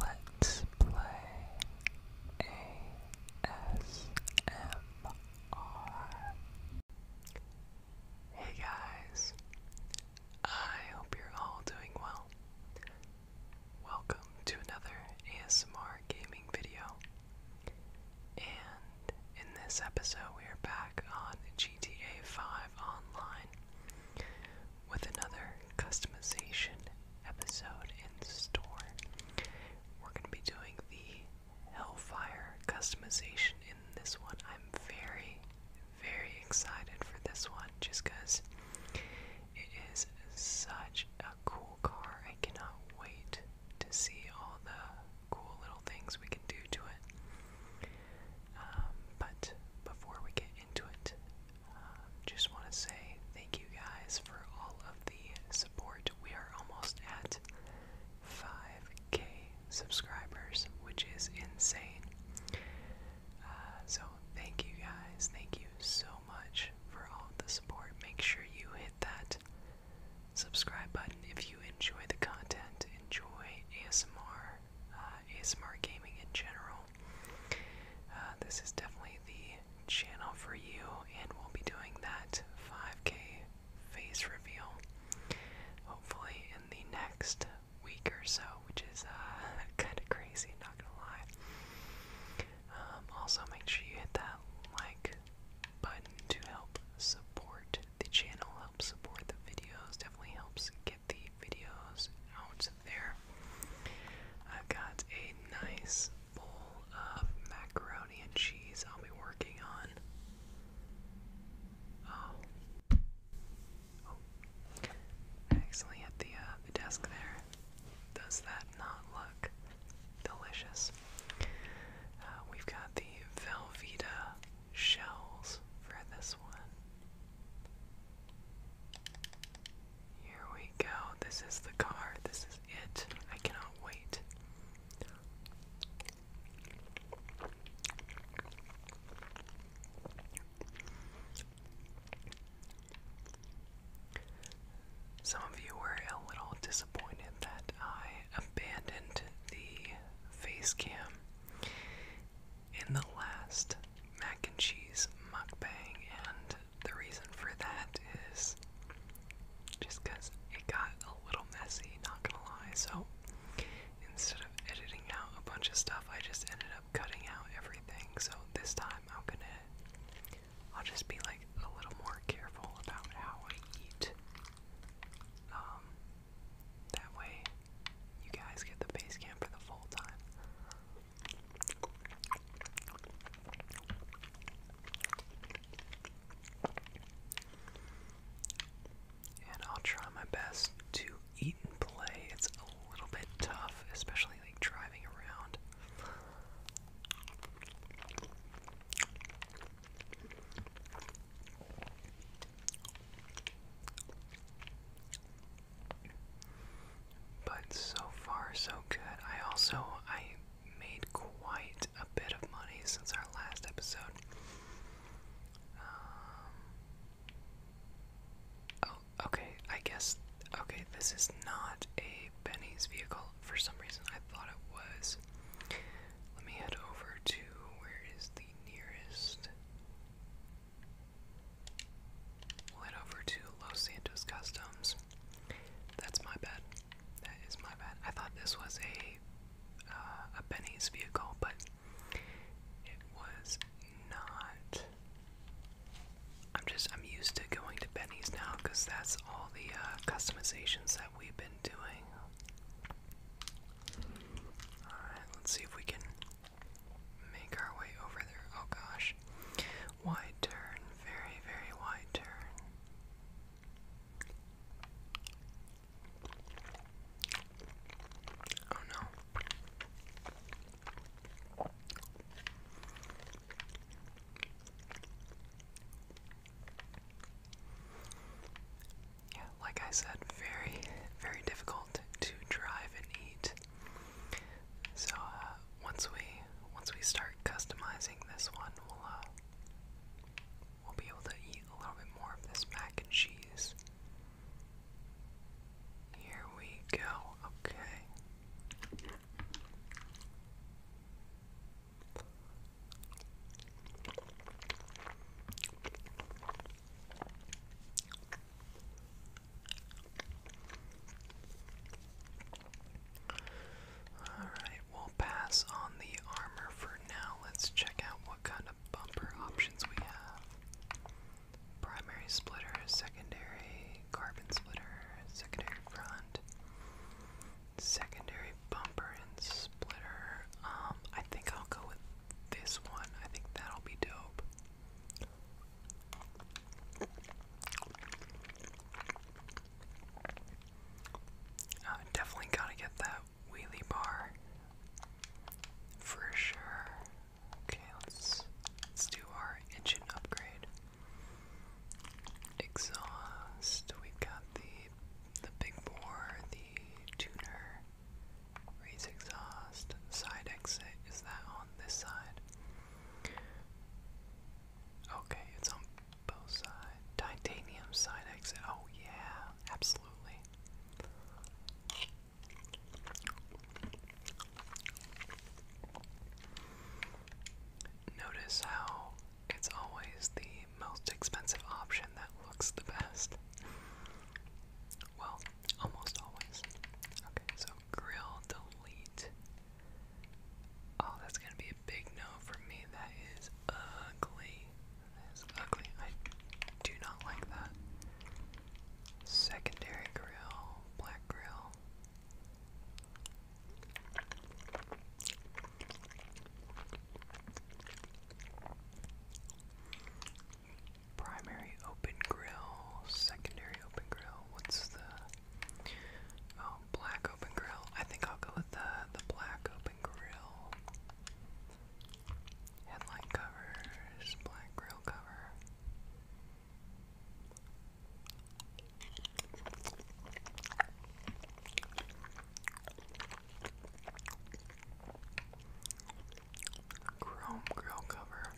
Let's play ASMR. Hey guys, I hope you're all doing well. Welcome to another ASMR gaming video. And in this episode, we are back on GTA 5 Online with another customization episode in store. We're going to be doing the Hellfire customization in this one. I'm very, very excited for this one just because it is such a cool car. I cannot wait to see all the cool little things we can do to it. Um, but before we get into it, um, just want to say thank you guys for all of the support. We are almost at 5k subscribers, which is insane. Uh, so, thank you guys. Thank you so much for all of the support. Make sure you hit that subscribe button if you enjoy the content, enjoy ASMR, uh, ASMR gaming in general. Uh, this is definitely the channel for you, and we'll be doing that 5K face reveal hopefully in the next week or so, which is uh, kind of crazy, not gonna lie. Um, also, make sure you hit that like button to help support the channel, help support the videos, definitely helps the videos out there. I've got a nice bowl of macaroni and cheese I'll be working on. Oh. Oh. Actually, at the, uh, the desk there. Does that not look delicious? Uh, we've got the Velveeta shells for this one. Here we go. This is the car. This is it. I cannot wait. Some of you were a little disappointed that I abandoned the face cam in the last mac and cheese mukbang, and the reason for that is just because it got a little messy, not gonna lie. So instead of editing out a bunch of stuff, I just ended up cutting out everything. So this time I'm gonna, I'll just be like a little more careful about how I eat. Um, that way, you guys get the base camp for the full time. And I'll try my best to eat and play. It's a little bit tough, especially like driving around. But so far so good. I also I made quite a bit of money since our last episode. Um, oh, okay. I guess okay. This is not a Benny's vehicle for some reason. I thought it was. Let me head over to where is the nearest we over to Los Santos Customs. That's my bad. That is my bad. I thought this was a uh, a Benny's vehicle, but it was not. I'm just I'm used to going to Benny's now because that's all the uh, customizations that we've been doing. All right, let's see if we can make our way over there. Oh gosh. Wide turn. Very, very wide turn. Oh no yeah, like I said, very, very difficult to drive and eat. So uh, once we once we start customizing this one, we'll uh, we'll be able to eat a little bit more of this mac and cheese. Here we go. Okay. Alright, we'll pass on the armor for now. Let's check out what kind of bumper options we have. Primary splitter, secondary carbon splitter, secondary front, secondary bumper and splitter. Um, I think I'll go with this one. I think that'll be dope. Uh, definitely gotta get that wheelie bar for sure. Okay, let's let's do our engine upgrade. Exhaust. We've got the the big bore, the tuner. Raise exhaust. Side exit. Is that on this side? Okay, it's on both sides. Titanium side exit. Oh, yeah, absolutely. Notice how it's always the most expensive option that looks the best. Well, almost always. Okay, so grill delete. Oh, that's gonna be a big no for me. That is ugly. That is ugly. I do not like that. Secondary grill, black grill. Primary open grill, secondary open grill. What's the oh, black open grill? I think I'll go with the the black open grill. Headline covers, black grill cover. Chrome grill cover.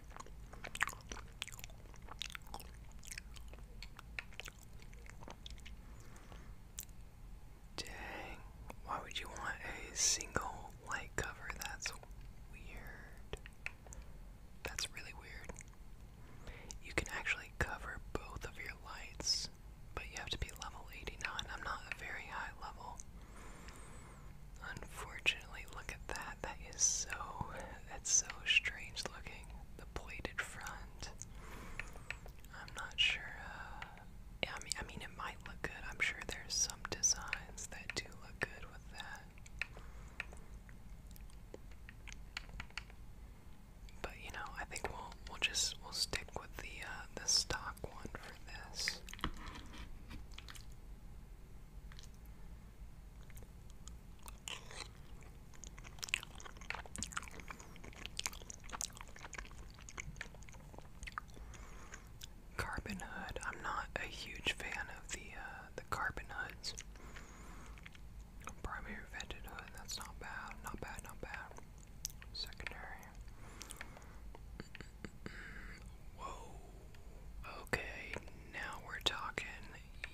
Dang, why would you want a single light cover? That's weird. That's really weird. You can actually cover both of your lights but you have to be level 89. I'm not a very high level. Unfortunately, look at that. That is so. That's so strange looking. The plated front. I'm not sure. yeah, uh, I mean, I mean, it might look good. I'm sure there's some designs that do look good with that. But you know, I think we'll we'll just we'll stick with the uh, the stock one for this. Carbon hood. I'm not a huge fan of the uh, the carbon hoods. Primary vented hood. That's not bad. Not bad. Not bad. Secondary. Whoa. Okay, now we're talking.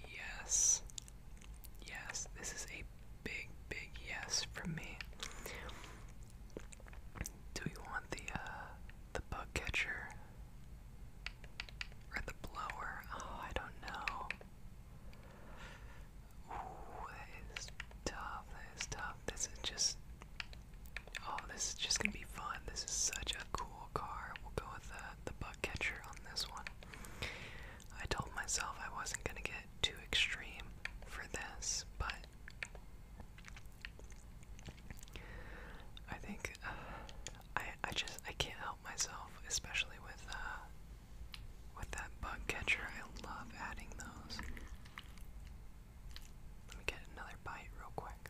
Yes. Yes, this is a big, big yes from me. Do we want the uh the bug catcher? Or the blower? Oh, I don't know. Ooh, that is tough. That is tough. This is just. Oh, this is just gonna be fun. This is such a cool car. We'll go with the the bug catcher on this one. I told myself I wasn't gonna get too extreme for this, but I think uh, I I just I can't help myself, especially with the uh, with that bug catcher. I love adding those. Let me get another bite real quick.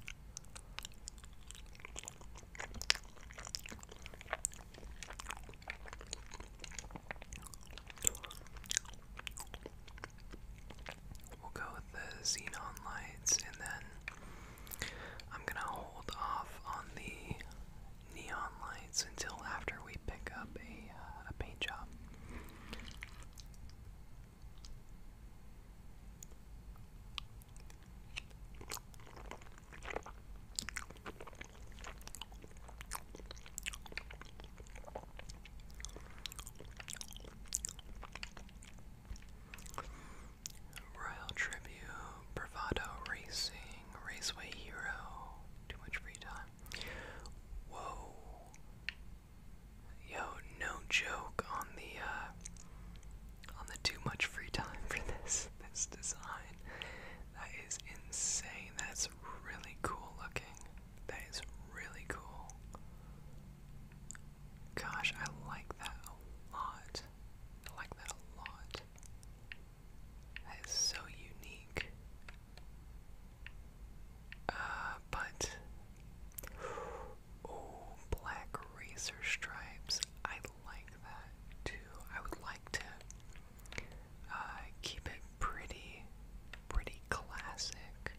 We'll go with the xenon lights and then I'm going to hold off on the neon lights until after we pick up a, uh, a paint job. Royal Tribute, Bravado Racing, Raceway Hero. Too much free time. Whoa. Yo, no joke on the uh, on the too much free time for this this design. That is insane. That's really cool looking. That is really cool. Gosh, I like that a lot. I like that a lot. That is so unique. Uh, but oh, black razor stripes. I like that too. I would like to uh, keep it pretty, pretty classic.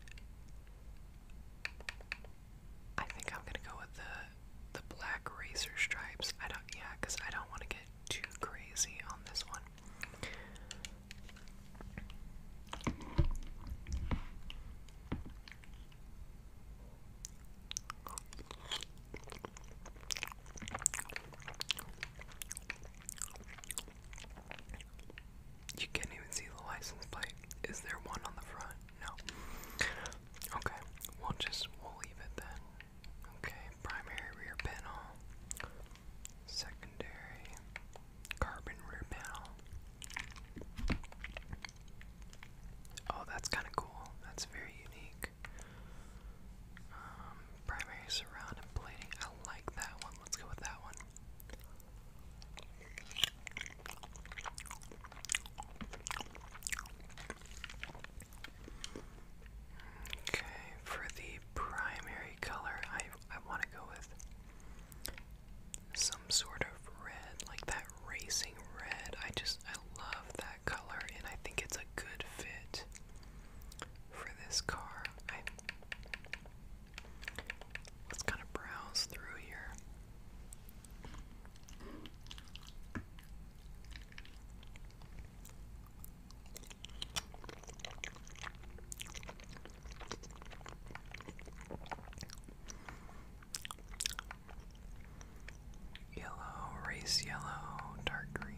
I think I'm gonna go with the the black razor stripes. I don't, yeah, because I don't want to get too crazy on this one. You can't even see the license plate. Is there one on the front? No. Okay, we'll just we'll leave it then. Okay, primary rear panel, secondary carbon rear panel. Oh, that's kind of cool. That's very unique. Um, primary surround and plating. I like that one. Let's go with that one. Okay, for the primary color, I I want to go with some sort of red, like that racing red. I just I love that color, and I think it's a good fit for this car. let's kind of browse through here. Yellow, race yellow, dark green.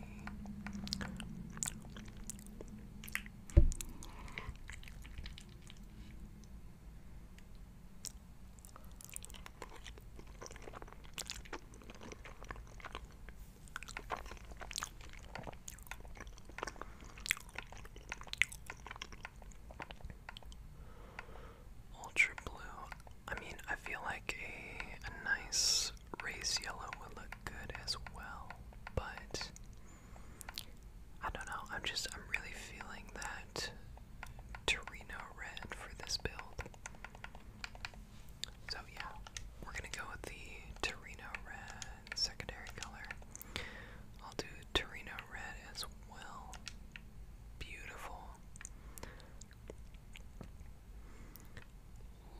Ultra blue. I mean, I feel like a, a nice race yellow would look good as well, but I don't know. I'm just, I'm really feeling that Torino red for this build. So yeah, we're gonna go with the Torino red secondary color. I'll do Torino red as well. Beautiful.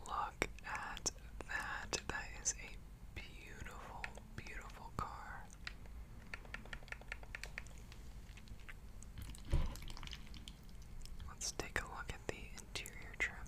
Look at that. That is a beautiful, beautiful car. Let's take a look at the interior trim.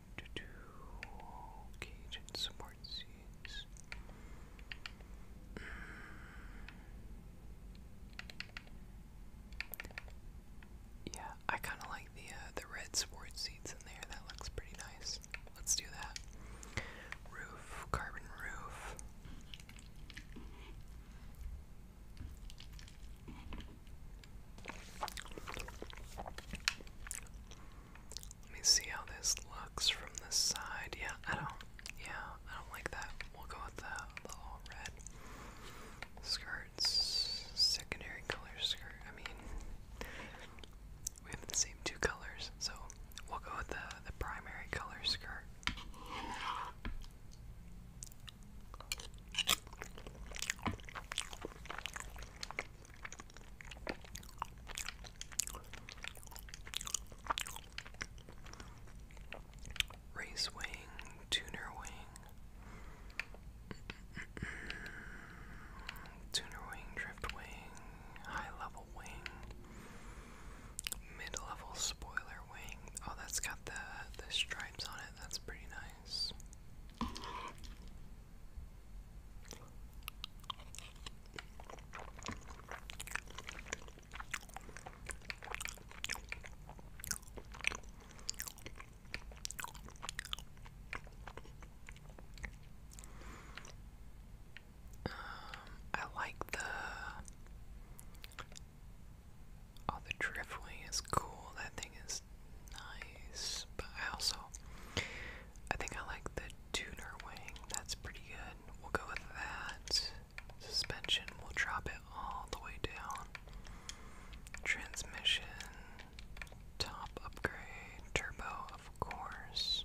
Mm. Yeah, I kind of like the uh, the red support seats in there. That looks pretty nice. Let's do that. Roof, carbon roof. Let me see how this looks from the side. Yeah, I don't. Yeah, I don't like that. We'll go with the, the all red skirts, secondary color skirt. I mean, we have the same two colors, so we'll go with the the primary color skirt. Race wing, tuner wing, tuner wing, drift wing, high level wing, mid level spoiler wing. Oh, that's got the the stripes on it. That's pretty nice. Um, I like the oh the driftway is cool. That thing is nice, but I also I think I like the tuner wing. That's pretty good. We'll go with that. Suspension, we'll drop it all the way down. Transmission, top upgrade, turbo, of course.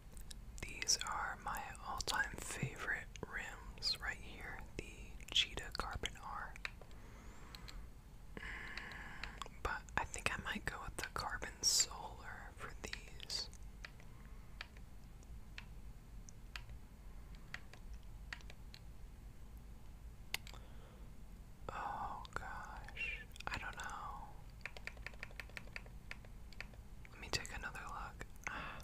These are my all-time favorite rims right here, the Cheetah Carbon R. Mm, but I think I might go with the Carbon Solar for these. Oh gosh, I don't know. Let me take another look. Ah,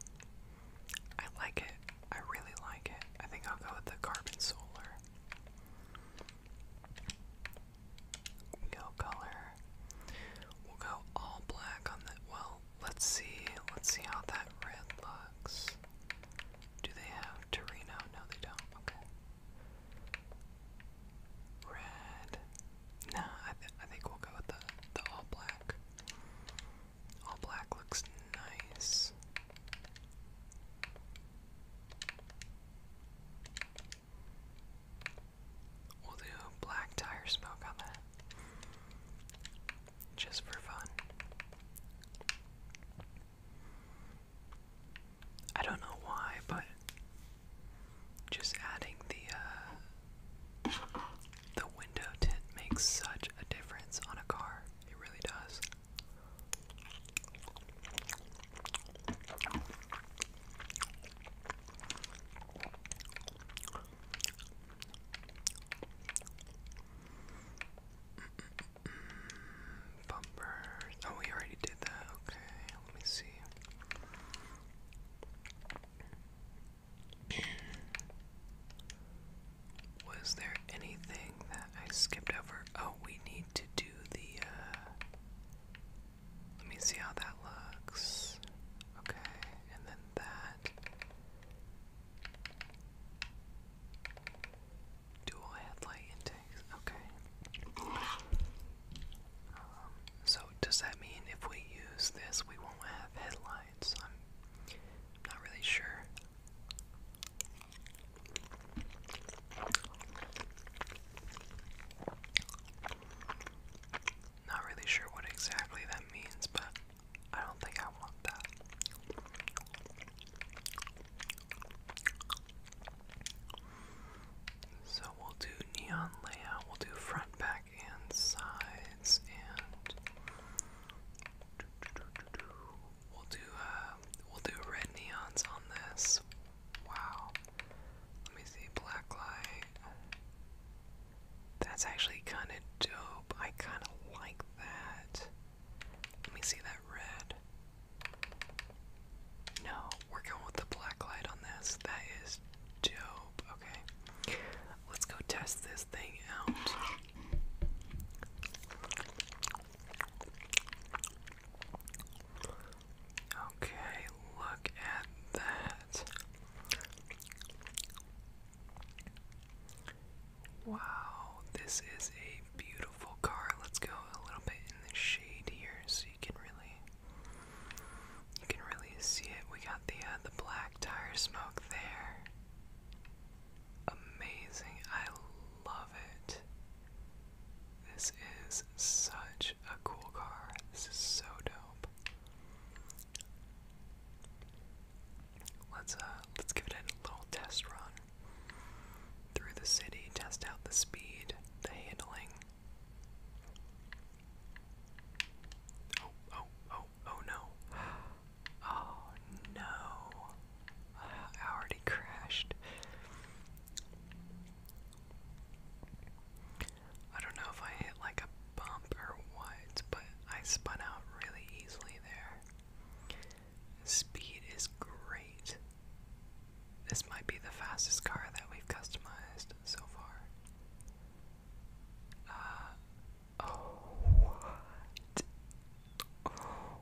I like it. I really like it. I think I'll go with the carbon solar. Go color. We'll go all black on that. Well, let's see. Let's see how that red looks. Do they have Torino? No, they don't. Okay. Red. Nah, I think we'll go with the the all black. All black looks nice. We'll do black tire smoke on that. Just for fun. I don't know why, but just adding the uh, the window tint makes such a difference on a car. It really does. Bumper. Oh, we already did that. Okay, let me see. Was there anything that I skipped over? Oh, we need to do the, uh, let me see how that looks. Okay, and then that. Dual headlight intakes, okay so does that mean if we use this, we won't have headlights? I'm not really sure. Not really sure what exactly that means, but I don't think I want that. So we'll do neon layout, we'll do front, back, and sides, and we'll do uh, we'll do red neons on this. Wow, let me see black That's actually kind of dope. I kind of like that. Let me see that red. No, we with the black light on this. That is dope. Okay. Let's go test this thing out. Okay, look at that. Wow, this is a beautiful car. Let's go a little bit in the shade here you can really you can really see it. We got the uh, the black tire smoke there. Amazing. I love it. This is such a cool car. This is so dope. Let's uh, let's give it a little test run through the city, test out the speed, the handling. Oh, oh, oh, oh no. Oh no. I uh, already crashed. I don't know if I hit like a bump or what, but I spun out really easily there. Speed is great. This might be the fastest car that we've customized so far. Uh, oh, what? Oh,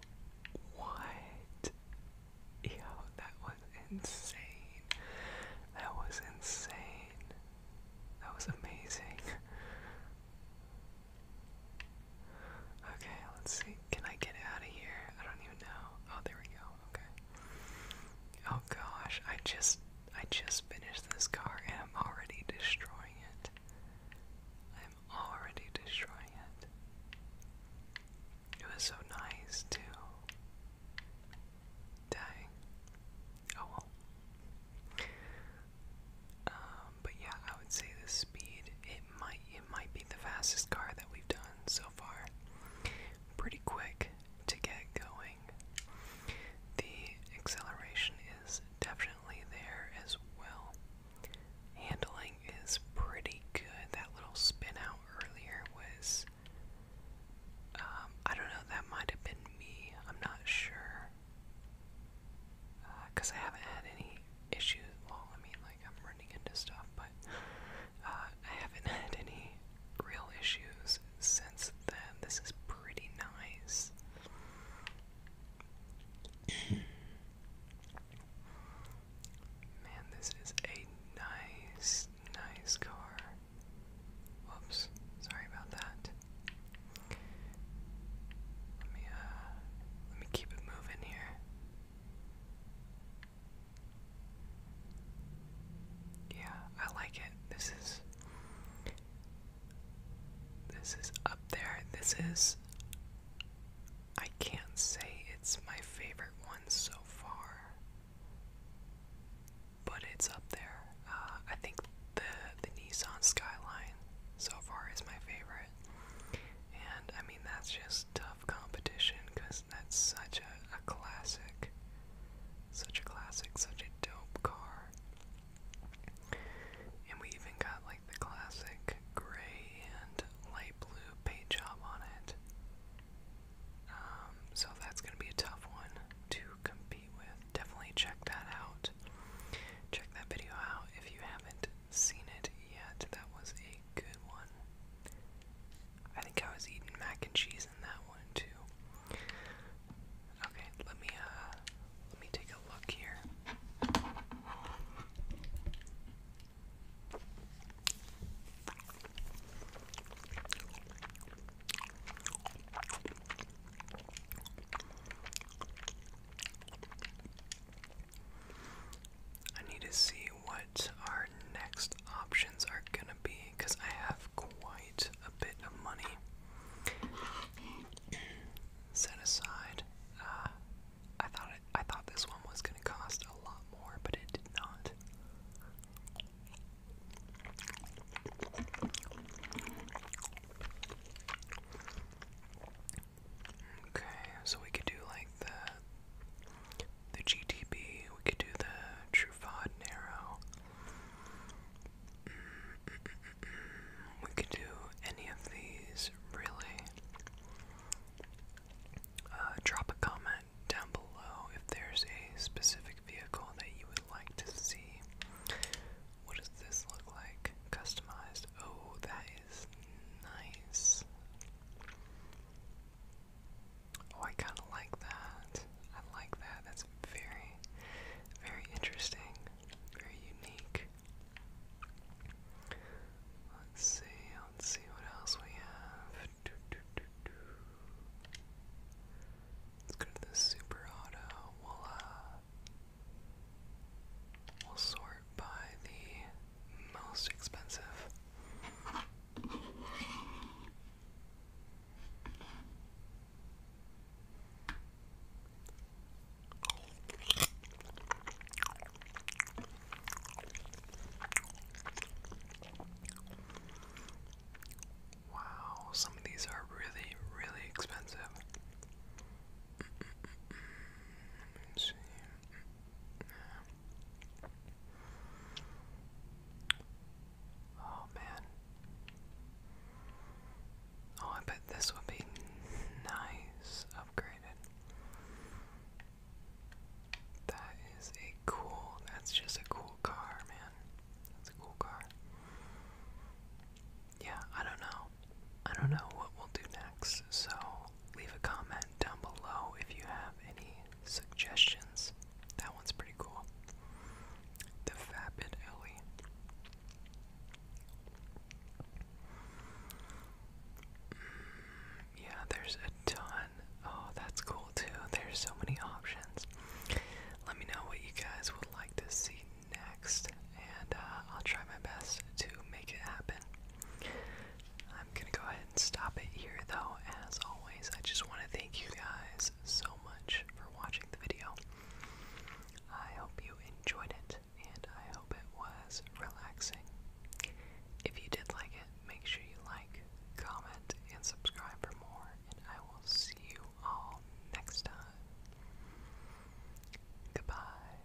what? Yo, that was insane. That was insane. That was amazing. Okay, let's see. Can I get out of here? I don't even know. Oh, there we go. Okay. Oh gosh, I just I just finished this car and I'm already destroying it. I'm already destroying it. It was so nice too. Dang. Oh well. Um, but yeah, I would say the speed it might it might be the fastest car that we've done so far. Pretty quick to get going. The acceleration is definitely there as well. Handling is pretty good. That little spin out earlier was. Um, I don't know, that might have been me. I'm not sure. Because uh, I haven't had any issues. Well, I mean, like, I'm running into stuff, but uh, I haven't had any real issues since then. This is pretty nice. Man, this is a nice, nice car. Whoops, sorry about that. Let me uh let me keep it moving here. Yeah, I like it. This is This is up there. This is I can't say it's my favorite one so far. But it's up there. Uh, I think the the Nissan Skyline so far is my favorite. And I mean that's just tough competition because that's such a, classic. Such a classic, such a dope car. And we even got like the classic gray and light blue paint job on it. Um, so that's going to be a tough one to compete with. Definitely check that out. Check that video out if you haven't seen it yet. That was a good one. I think I was eating mac and cheese in that one too. Okay, let me uh, let me take a look here. I need to see what our next options are gonna be because I have quite a bit of money set aside. Uh, I thought I thought this one was gonna cost a lot more, but it did not. Okay, so we could do like the the GTB, we could do the Truffaut Narrow. We could do any of these, really. Uh, drop a comment down below if there's a specific vehicle that you would like to see. What does this look like? Customized. Oh, that is nice. Oh, I kind of like that. I like that. That's very, very interesting. Very unique. Let's see. Let's see what else we have. Let's go to the super auto. We'll, uh, we'll sort by the most expensive. Wow, some of these are really, really expensive. Let's see. Oh man. Oh, I bet this would be nice upgraded. That is a cool, that's just a cool car, man. That's a cool car. Yeah, I don't know. I don't know what we'll do next, so leave a comment down below if you have any suggestions. That one's pretty cool. The Vapid Ellie. Mm, yeah, there's a ton. Oh, that's cool too. There's so many options. Let me know what you guys would like to see next, and uh, I'll try my best to make it happen. I'm gonna go ahead stop it here, though. As always, I just want to thank you guys so much for watching the video. I hope you enjoyed it, and I hope it was relaxing. If you did like it, make sure you like, comment, and subscribe for more, and I will see you all next time. Goodbye.